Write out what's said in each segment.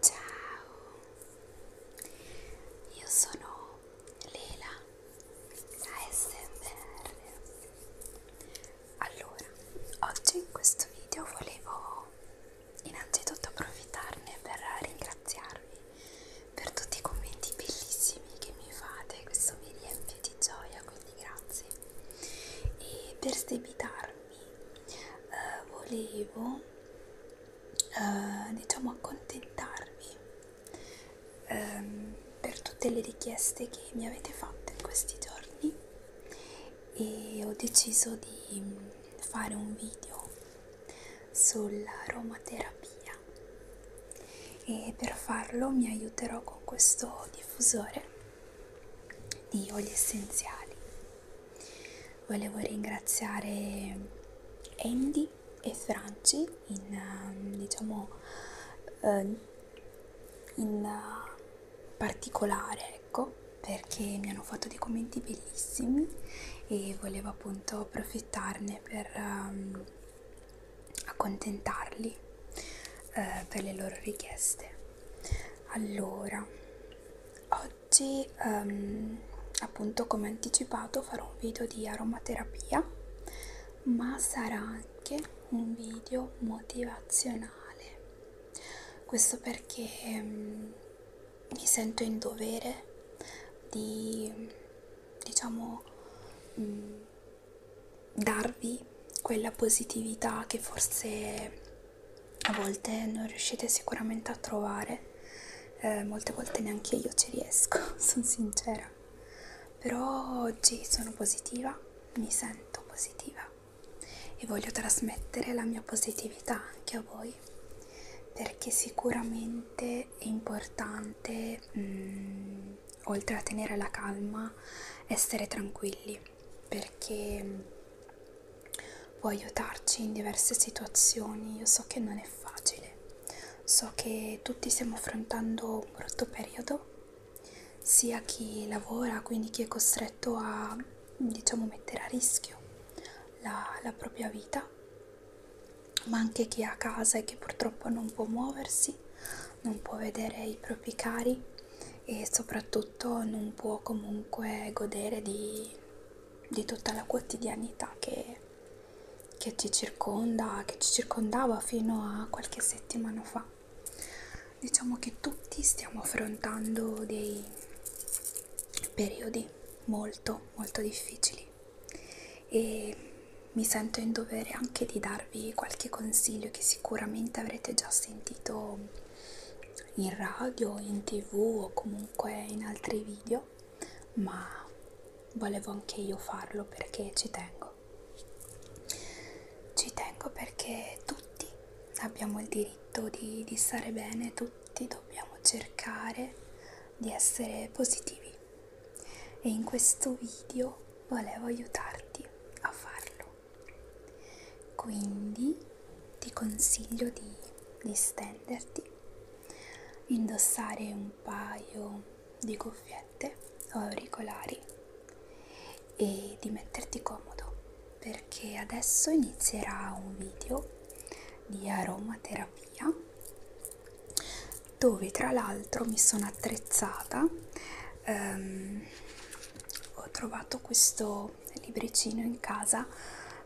Ciao, io sono Lela ASMR. Allora, oggi in questo video volevo innanzitutto approfittarne per ringraziarvi per tutti i commenti bellissimi che mi fate, questo mi riempie di gioia, quindi grazie e per sdebitarmi eh, volevo eh, diciamo accontentarvi ehm, per tutte le richieste che mi avete fatto in questi giorni e ho deciso di mm, fare un video sull'aromaterapia e per farlo mi aiuterò con questo diffusore di oli essenziali. Volevo ringraziare Andy e Franci in, um, diciamo, eh, in uh, particolare, ecco, perché mi hanno fatto dei commenti bellissimi e volevo appunto approfittarne per um, accontentarli eh, per le loro richieste. Allora, oggi ehm, appunto come anticipato farò un video di aromaterapia, ma sarà anche un video motivazionale. Questo perché ehm, mi sento in dovere di diciamo mh, mm, darvi quella positività che forse a volte non riuscite sicuramente a trovare eh, molte volte neanche io ci riesco sono sincera però oggi sono positiva mi sento positiva e voglio trasmettere la mia positività anche a voi perché sicuramente è importante mm, oltre a tenere la calma, essere tranquilli perché mm, può aiutarci in diverse situazioni. Io so che non è facile, so che tutti stiamo affrontando un brutto periodo, sia chi lavora, quindi chi è costretto a diciamo mettere a rischio la, la propria vita ma anche chi ha casa e che purtroppo non può muoversi non può vedere i propri cari e soprattutto non può comunque godere di, di tutta la quotidianità che, che ci circonda, che ci circondava fino a qualche settimana fa. Diciamo che tutti stiamo affrontando dei periodi molto molto difficili e mi sento in dovere anche di darvi qualche consiglio che sicuramente avrete già sentito in radio, in tv o comunque in altri video, ma volevo anche io farlo perché ci tengo. Ci tengo perché tutti abbiamo il diritto di, di stare bene, tutti dobbiamo cercare di essere positivi e in questo video volevo aiutarti a farlo quindi ti consiglio di distenderti indossare un paio di cuffiette o auricolari e di metterti comodo perché adesso inizierà un video di aromaterapia dove tra l'altro mi sono attrezzata ehm, ho trovato questo libricino in casa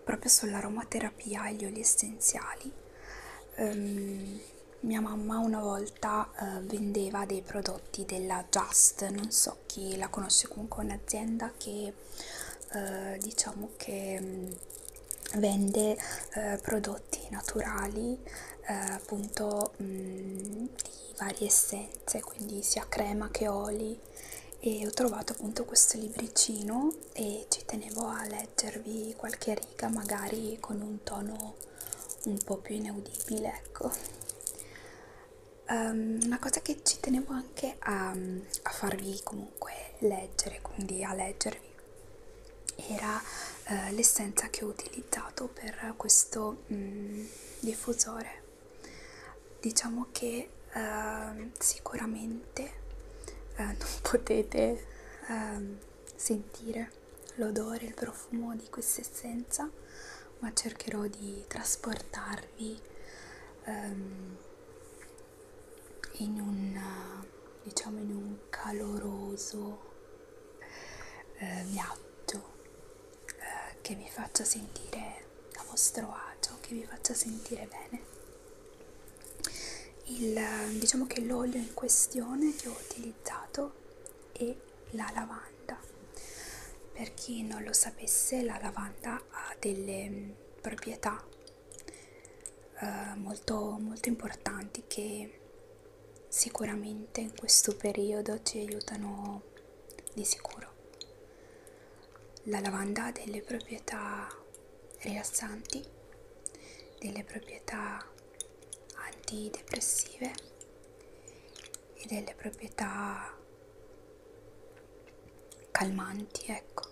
proprio sull'aromaterapia e gli oli essenziali ehm, mia mamma una volta eh, vendeva dei prodotti della Just non so chi la conosce comunque un'azienda che eh, diciamo che mh, mm, vende eh, prodotti naturali eh, appunto uso mm, mh, di varie essenze, quindi sia crema che oli e ho trovato appunto questo libricino e ci tenevo a leggervi qualche riga magari con un tono un po' più inaudibile ecco um, una cosa che ci tenevo anche a, a farvi comunque leggere quindi a leggervi era eh, l'essenza che ho utilizzato per questo mm, diffusore diciamo che eh, sicuramente eh, non potete eh, sentire l'odore il profumo di questa essenza ma cercherò di trasportarvi ehm, in un diciamo in un caloroso eh, viaggio eh, che vi faccia sentire a vostro agio, che vi faccia sentire bene. Il, eh, diciamo che l'olio in questione che ho utilizzato è la lavanda. Per chi non lo sapesse, la lavanda ha delle mm, proprietà eh, molto, molto importanti che sicuramente in questo periodo ci aiutano di sicuro. La lavanda ha delle proprietà rilassanti, delle proprietà antidepressive e delle proprietà calmanti, ecco.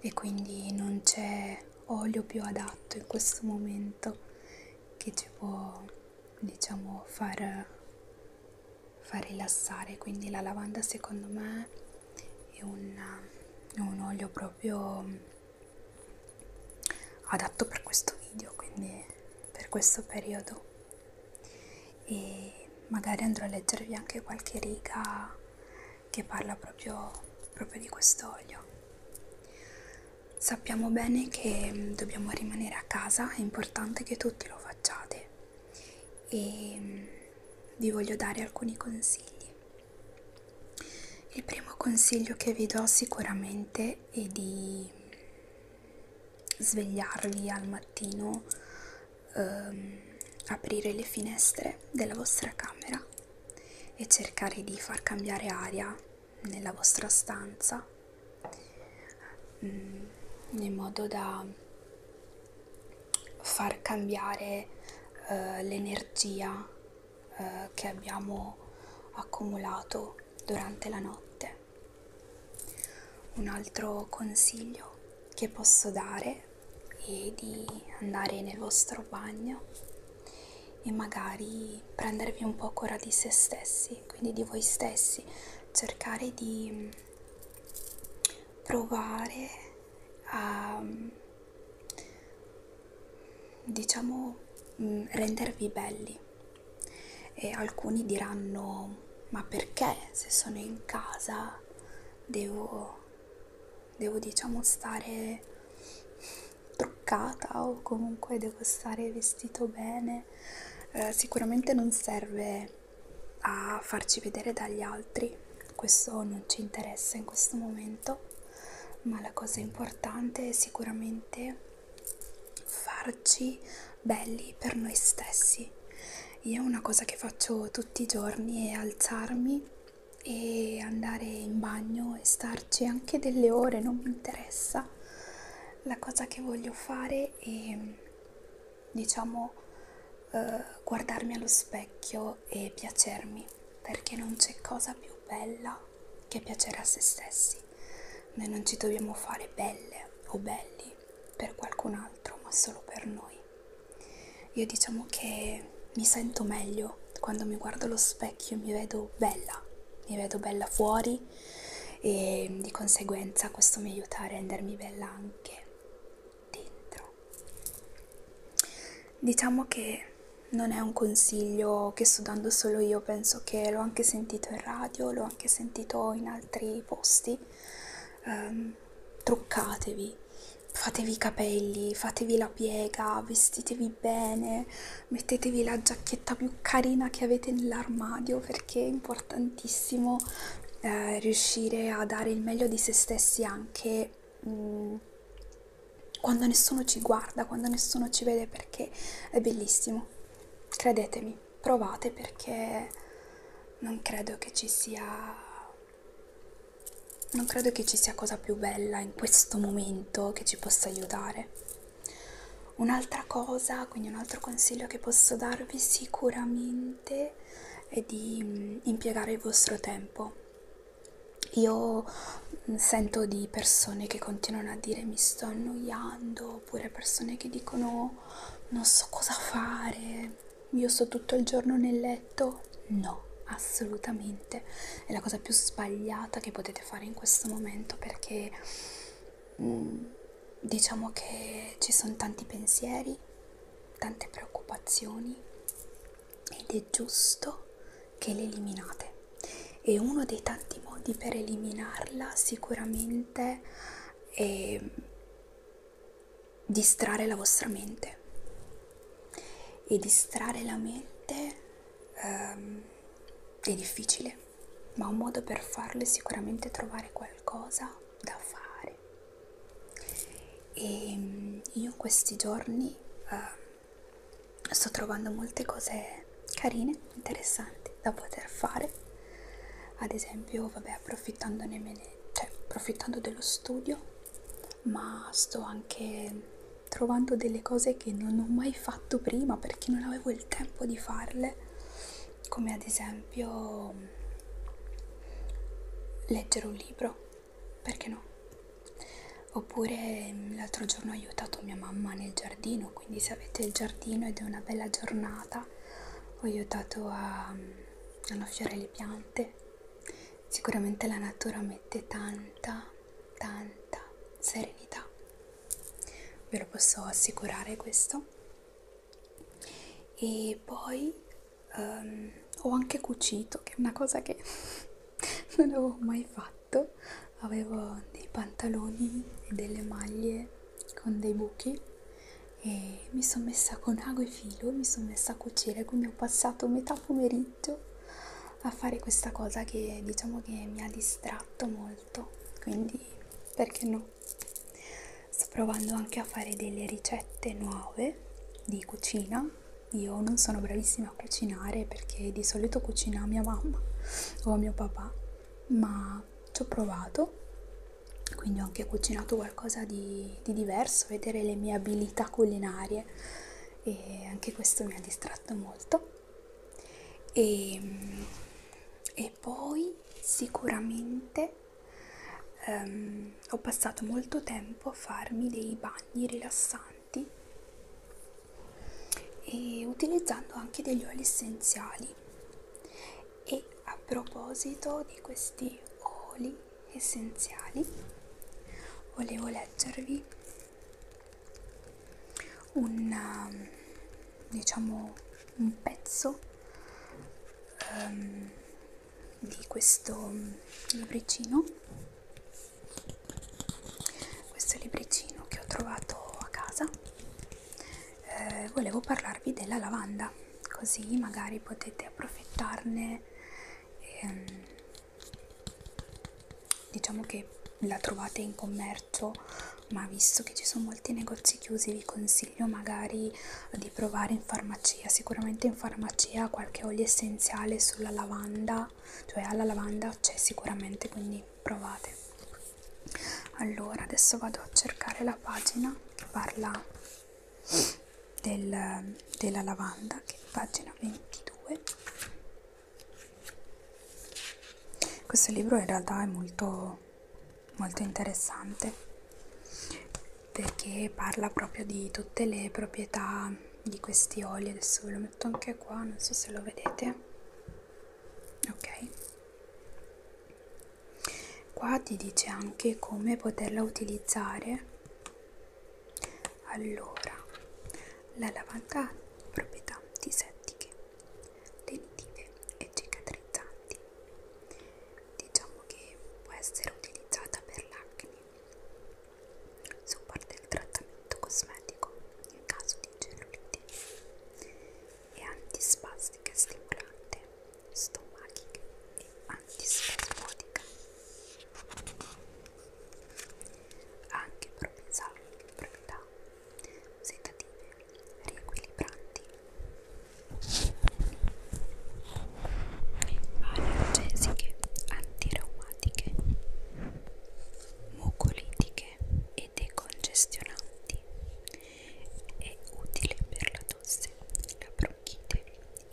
E quindi non c'è olio più adatto in questo momento che ci può diciamo far, far rilassare quindi la lavanda secondo me è un, è un olio proprio adatto per questo video quindi per questo periodo e magari andrò a leggervi anche qualche riga che parla proprio, proprio di quest'olio Sappiamo bene che mm, dobbiamo rimanere a casa, è importante che tutti lo facciate e mm, vi voglio dare alcuni consigli. Il primo consiglio che vi do sicuramente è di mm, svegliarvi al mattino, ehm, aprire le finestre della vostra camera e cercare di far cambiare aria nella vostra stanza mm, in modo da far cambiare eh, l'energia eh, che abbiamo accumulato durante la notte. Un altro consiglio che posso dare è di andare nel vostro bagno e magari prendervi un po' cura di se stessi, quindi di voi stessi, cercare di mm, provare a mm, diciamo mm, rendervi belli e alcuni diranno ma perché se sono in casa devo devo diciamo stare truccata o comunque devo stare vestito bene eh, sicuramente non serve a farci vedere dagli altri questo non ci interessa in questo momento ma la cosa importante è sicuramente farci belli per noi stessi io una cosa che faccio tutti i giorni è alzarmi e andare in bagno e starci anche delle ore non mi interessa la cosa che voglio fare è diciamo eh, guardarmi allo specchio e piacermi perché non c'è cosa più bella che piacere a se stessi noi non ci dobbiamo fare belle o belli per qualcun altro ma solo per noi io diciamo che mi sento meglio io quando mi guardo allo specchio mi vedo bella, mi vedo bella fuori e di conseguenza questo mi aiuta a rendermi bella anche dentro. Diciamo che non è un consiglio che sto dando solo io, penso che l'ho anche sentito in radio, l'ho anche sentito in altri posti. Um, truccatevi, fatevi i capelli, fatevi la piega, vestitevi bene, mettetevi la giacchetta più carina che avete nell'armadio perché è importantissimo eh, riuscire a dare il meglio di se stessi anche mh, mm, quando nessuno ci guarda, quando nessuno ci vede perché è bellissimo. Credetemi, provate perché non credo che ci sia non credo che ci sia cosa più bella in questo momento che ci possa aiutare un'altra cosa quindi un altro consiglio che posso darvi sicuramente è di mm, impiegare il vostro tempo io mm, sento di persone che continuano a dire mi sto annoiando oppure persone che dicono non so cosa fare io sto tutto il giorno nel detto no, assolutamente. È la cosa più sbagliata che potete fare in questo momento perché mh, mm, diciamo che ci sono tanti pensieri, tante preoccupazioni ed è giusto che le eliminate. E uno dei tanti modi per eliminarla sicuramente è distrarre la vostra mente e distrarre la mente um, è difficile, ma un modo per farlo è sicuramente trovare qualcosa da fare. E um, io questi giorni uh, sto trovando molte cose carine, interessanti da poter fare. Ad esempio, vabbè, approfittandone, cioè, approfittando dello studio ma sto anche trovando delle cose che non ho mai fatto prima perché non avevo il tempo di farle come ad esempio leggere un libro perché no oppure l'altro giorno ho aiutato mia mamma nel giardino quindi se avete il giardino ed è una bella giornata ho aiutato a annaffiare le piante Sicuramente la natura mette tanta, tanta serenità, ve lo posso assicurare questo. E poi um, ho anche cucito, che è una cosa che non avevo mai fatto. Avevo dei pantaloni e delle maglie con dei buchi e mi sono messa con ago e filo, mi sono messa a cucire, quindi ho passato metà pomeriggio pomeriggio a fare questa cosa che diciamo che mi ha distratto molto quindi perché no sto provando anche a fare delle ricette nuove di cucina io non sono bravissima a cucinare perché di solito cucina mia mamma o mio papà ma ci ho provato quindi ho anche cucinato qualcosa di, di diverso vedere le mie abilità culinarie e anche questo mi ha distratto molto e, ehm, e poi sicuramente um, ho passato molto tempo a farmi dei bagni rilassanti e utilizzando anche degli oli essenziali e a proposito di questi oli essenziali volevo leggervi un um, diciamo un pezzo um, di questo libricino questo libricino che ho trovato a casa eh, volevo parlarvi della lavanda così magari potete approfittarne e, ehm, diciamo che la trovate in commercio ma visto che ci sono molti negozi chiusi vi consiglio magari di provare in farmacia sicuramente in farmacia qualche olio essenziale sulla lavanda cioè alla lavanda c'è sicuramente quindi provate allora adesso vado a cercare la pagina parla del, della lavanda che è pagina 22 questo libro in realtà è molto molto interessante perché parla proprio di tutte le proprietà di questi oli adesso ve lo metto anche qua non so se lo vedete ok qua ti dice anche come poterla utilizzare allora, la lavanda ha proprietà disettiche, lenitive e cicatrizzanti. Diciamo che può essere utilizzata per l'acne. Supporta il trattamento cosmetico in caso di cellulite. È antispastica e stimolante, stomachica e antispasmodica ha anche proprietà sedative riequilibranti analgesiche antiraumatiche mucolitiche e decongestionanti è utile per la tosse la bronchite,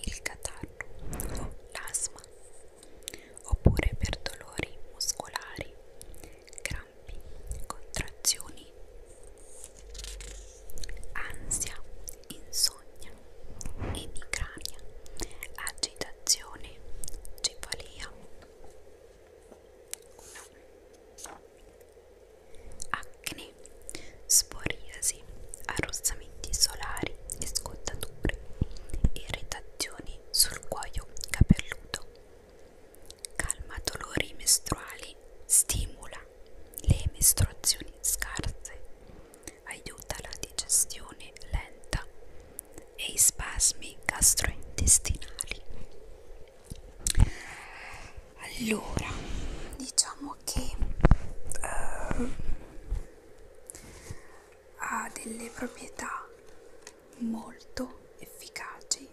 il catarro o l'asma, oppure per dolori muscolari, crampi, contrazioni, ansia, insonnia, emicrania, agitazione, cefalia. Acne acne, sporiasi, arrossamenti solari e scottature, irritazioni sul cuoio capelluto. Calma dolori mestruali, stimola le mestruazioni scarse, aiuta la digestione lenta e i spasmi gastrointestinali. Allora, diciamo che uh, ha delle proprietà molto efficaci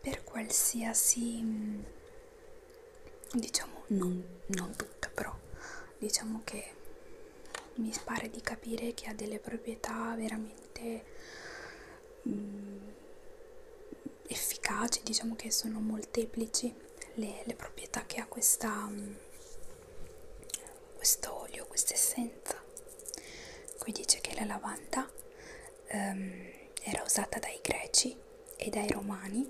per qualsiasi mm, diciamo non, non tutta però diciamo che mi pare di capire che ha delle proprietà veramente mh, mm, efficaci diciamo che sono molteplici le, le proprietà che ha questa mm, questo olio, questa essenza. Qui dice che la lavanda um, era usata dai greci e dai romani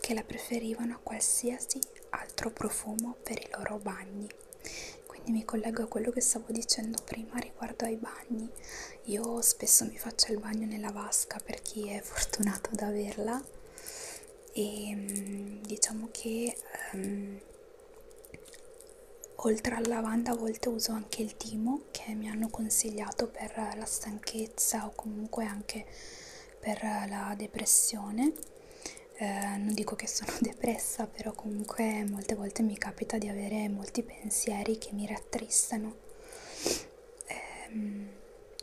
che la preferivano a qualsiasi altro profumo per i loro bagni. Quindi mi collego a quello che stavo dicendo prima riguardo ai bagni. Io spesso mi faccio il bagno nella vasca per chi è fortunato ad averla e mm, diciamo che um, oltre alla lavanda a volte uso anche il timo che mi hanno consigliato per la stanchezza o comunque anche per la depressione eh, non dico che sono depressa però comunque molte volte mi capita di avere molti pensieri che mi rattristano ehm,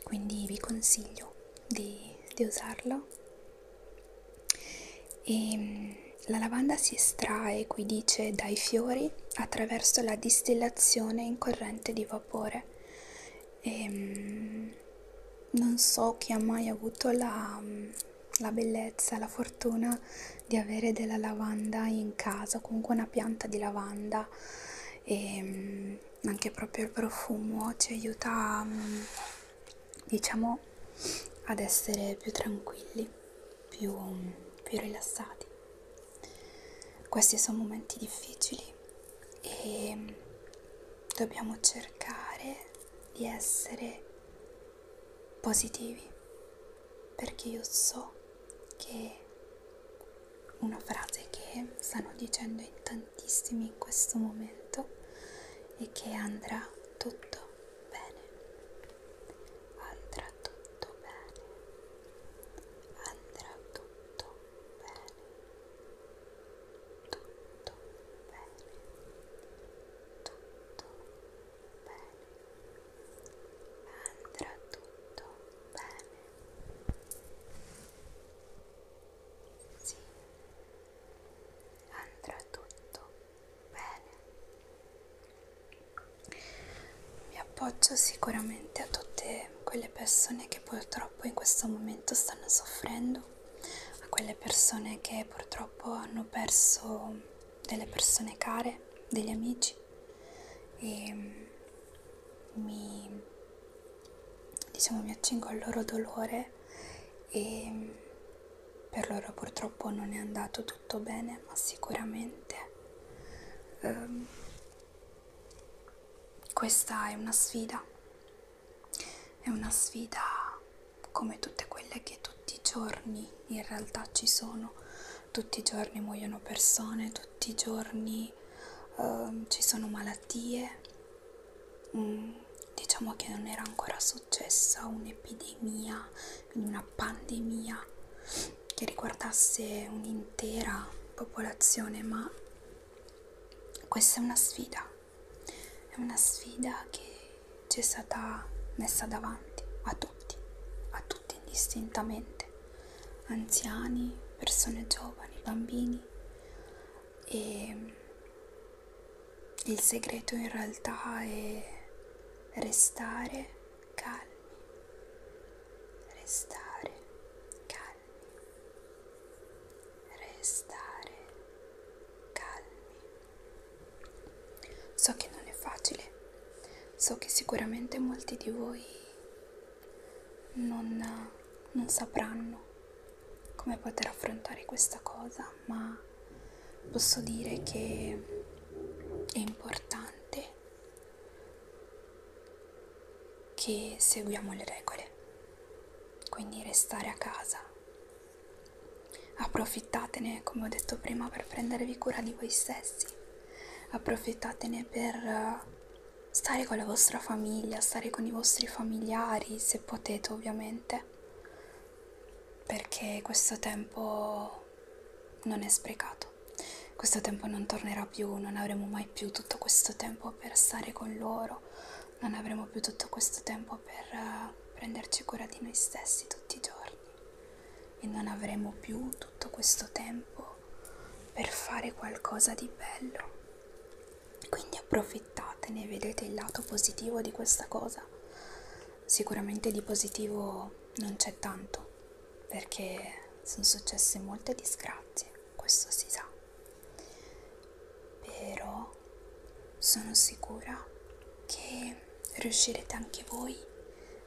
quindi vi consiglio di, di usarlo e, ehm, la lavanda si estrae, qui dice, dai fiori attraverso la distillazione in corrente di vapore. E, ehm, non so chi ha mai avuto la, la bellezza, la fortuna di avere della lavanda in casa, comunque una pianta di lavanda. E, ehm, anche proprio il profumo ci aiuta mm, diciamo ad essere più tranquilli più, mm, più rilassati questi sono momenti difficili e mm, dobbiamo cercare di essere positivi perché io so che una frase che stanno dicendo in tantissimi in questo momento e che andrà tutto bene andrà tutto bene andrà tutto bene tutto bene tutto bene andrà tutto bene sì, andrà tutto bene. Mi appoggio sicuramente a tutte quelle persone che purtroppo in questo momento stanno soffrendo, a quelle persone che purtroppo hanno perso delle persone care, degli amici piace ehm, e mi, diciamo, mi accingo al loro dolore e per loro purtroppo non è andato tutto bene, ma sicuramente um, questa è una sfida, è una sfida come tutte quelle che tutti i giorni in realtà ci sono, tutti i giorni muoiono persone, tutti i giorni eh, ci sono malattie, mm, diciamo che non era ancora successa un'epidemia, quindi una pandemia che riguardasse un'intera popolazione, ma questa è una sfida, è una sfida che ci è stata messa davanti a tutti, a tutti indistintamente anziani, persone giovani, bambini e il segreto in realtà è restare calmi, restare calmi, restare calmi. So che non è facile, so che sicuramente molti di voi non, non sapranno come poter affrontare questa cosa, ma posso dire che è importante che seguiamo le regole, quindi restare a casa. Approfittatene, come ho detto prima, per prendervi cura di voi stessi, approfittatene per stare con la vostra famiglia, stare con i vostri familiari, se potete ovviamente, perché questo tempo non è sprecato. Questo tempo non tornerà più, non avremo mai più tutto questo tempo per stare con loro, non avremo più tutto questo tempo per uh, prenderci cura di noi stessi tutti i giorni e non avremo più tutto questo tempo per fare qualcosa di bello quindi approfittatene vedete il lato positivo di questa cosa sicuramente di positivo non c'è tanto perché sono successe molte disgrazie questo si sa però sono sicura che riuscirete anche voi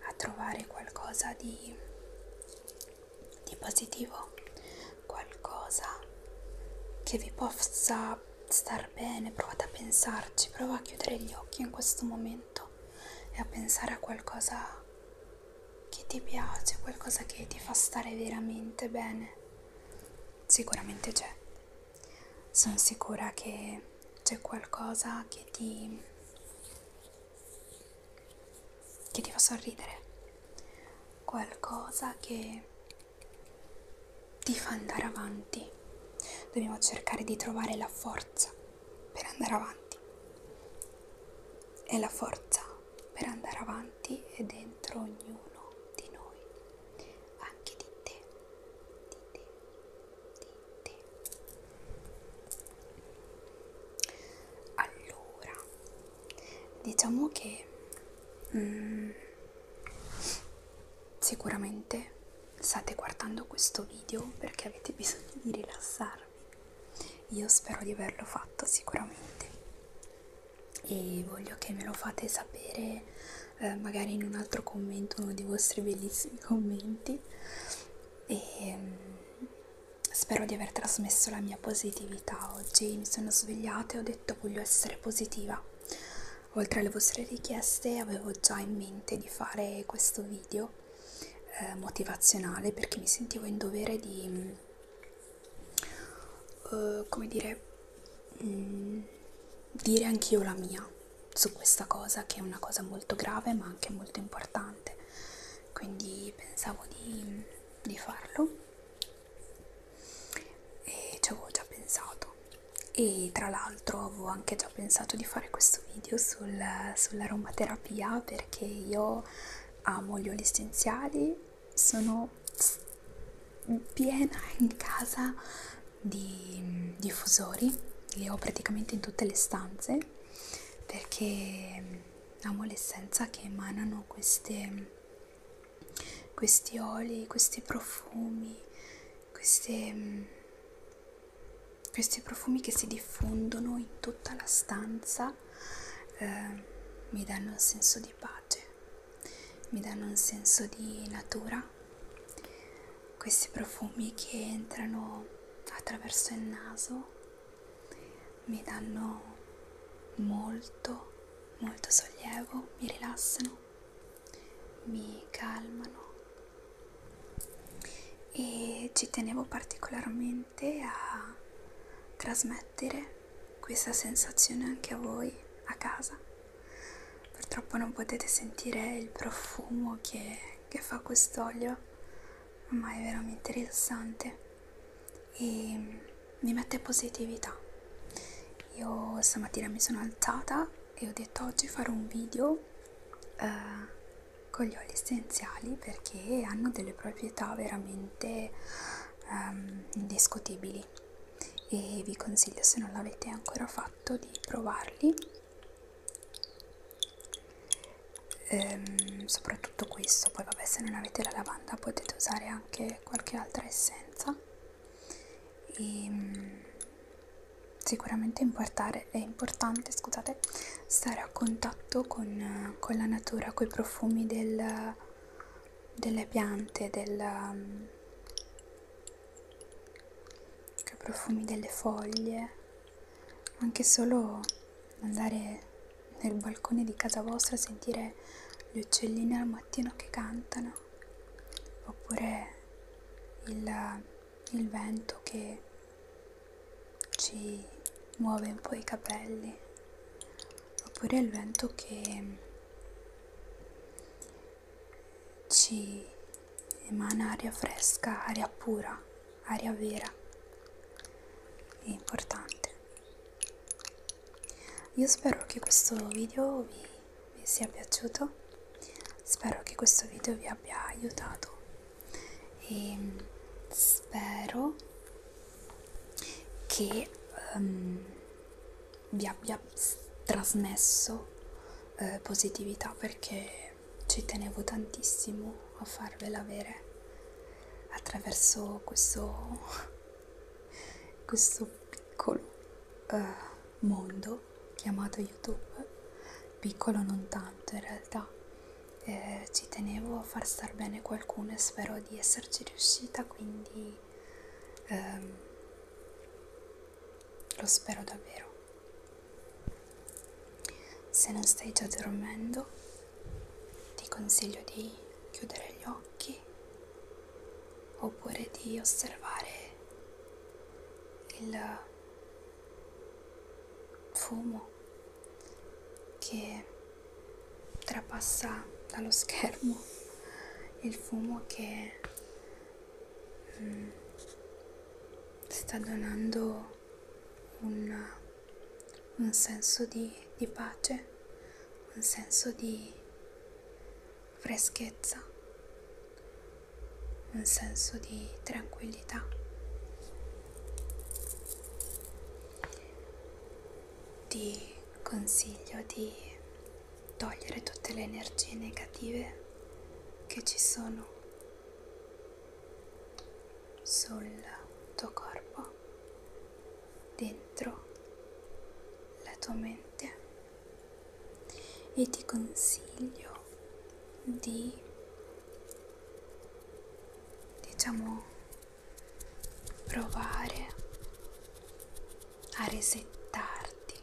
a trovare qualcosa di di positivo, qualcosa che vi possa star bene, provate a pensarci, prova a chiudere gli occhi in questo momento e a pensare a qualcosa che ti piace, qualcosa che ti fa stare veramente bene. Sicuramente c'è. Sono sicura che c'è qualcosa che ti che ti fa sorridere, qualcosa che ti fa andare avanti. Dobbiamo cercare di trovare la forza per andare avanti. E la forza per andare avanti è dentro ognuno di noi, anche di te, di te, di te allora diciamo che mm, sicuramente state guardando questo video perché avete bisogno di rilassarvi io spero di averlo fatto sicuramente e voglio che me lo fate sapere eh, magari in un altro commento uno dei vostri bellissimi commenti e mm, Spero di aver trasmesso la mia positività oggi. Mi sono svegliata e ho detto voglio essere positiva. Oltre alle vostre richieste avevo già in mente di fare questo video eh, motivazionale perché mi sentivo in dovere di, uh, come dire, mh, mm, dire anch'io la mia su questa cosa che è una cosa molto grave ma anche molto importante quindi pensavo di, di farlo e ci avevo già pensato e tra l'altro avevo anche già pensato di fare questo video sul, sull'aromaterapia perché io amo gli oli essenziali sono piena in casa di diffusori li ho praticamente in tutte le stanze perché amo l'essenza che emanano queste, questi oli, questi profumi, queste, questi profumi che si diffondono in tutta la stanza eh, mi danno un senso di pace, mi danno un senso di natura, questi profumi che entrano attraverso il naso mi danno molto molto sollievo, mi rilassano, mi calmano e ci tenevo particolarmente a trasmettere questa sensazione anche a voi a casa. Purtroppo non potete sentire il profumo che, che fa quest'olio ma è veramente rilassante e mi mette positività. Io stamattina mi sono alzata e ho detto oggi farò un video eh, con gli oli essenziali perché hanno delle proprietà veramente ehm, indiscutibili e vi consiglio se non l'avete ancora fatto di provarli ehm, soprattutto questo poi vabbè se non avete la lavanda potete usare anche qualche altra essenza e, ehm, sicuramente è importante scusate stare a contatto con, con la natura con i profumi del, delle piante del, i profumi delle foglie anche solo andare nel balcone di casa vostra a sentire gli uccellini al mattino che cantano oppure il, il vento che ci muove un po' i capelli oppure il vento che ci emana aria fresca, aria pura, aria vera. È importante. Io spero che questo video vi, vi sia piaciuto, spero che questo video vi abbia aiutato e mm, spero che um, vi abbia trasmesso eh, positività perché perché ci tenevo tantissimo a farvela avere attraverso questo, questo piccolo uh, mondo chiamato YouTube, piccolo non tanto in realtà. Eh, ci tenevo a far star bene qualcuno e spero di esserci riuscita, quindi ehm, lo spero davvero. Se non stai già dormendo, ti consiglio di chiudere gli occhi oppure di osservare il fumo che trapassa dallo schermo, il fumo che mm, sta donando ho un, un senso di, di pace, un senso di freschezza, un senso di tranquillità. Ti consiglio di togliere tutte le energie negative che ci sono sul tuo corpo, dentro la tua mente e ti consiglio di diciamo provare a resettarti,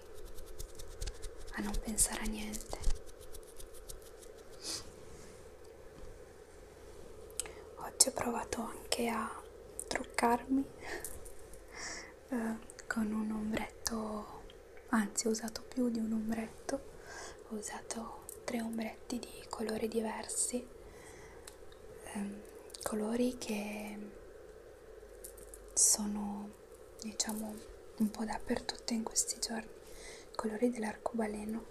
a non pensare a niente Oggi ho provato anche a truccarmi eh, con un ombretto, anzi ho usato più di un ombretto, ho usato tre ombretti di colori diversi, eh, colori che sono diciamo un po' dappertutto in questi giorni i colori dell'arcobaleno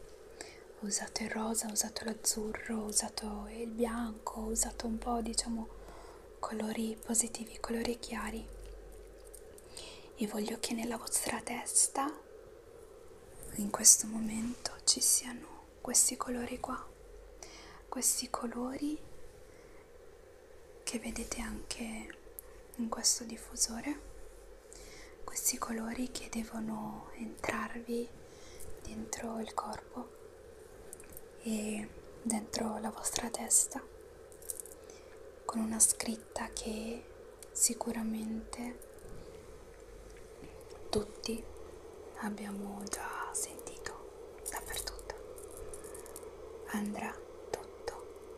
ho usato il rosa, ho usato l'azzurro, ho usato il bianco, ho usato un po' diciamo colori positivi, colori chiari e voglio che nella vostra testa in questo momento ci siano questi colori qua questi colori che vedete anche in questo diffusore questi colori che devono entrarvi dentro il corpo e dentro la vostra testa con una scritta che sicuramente tutti abbiamo già sentito dappertutto andrà tutto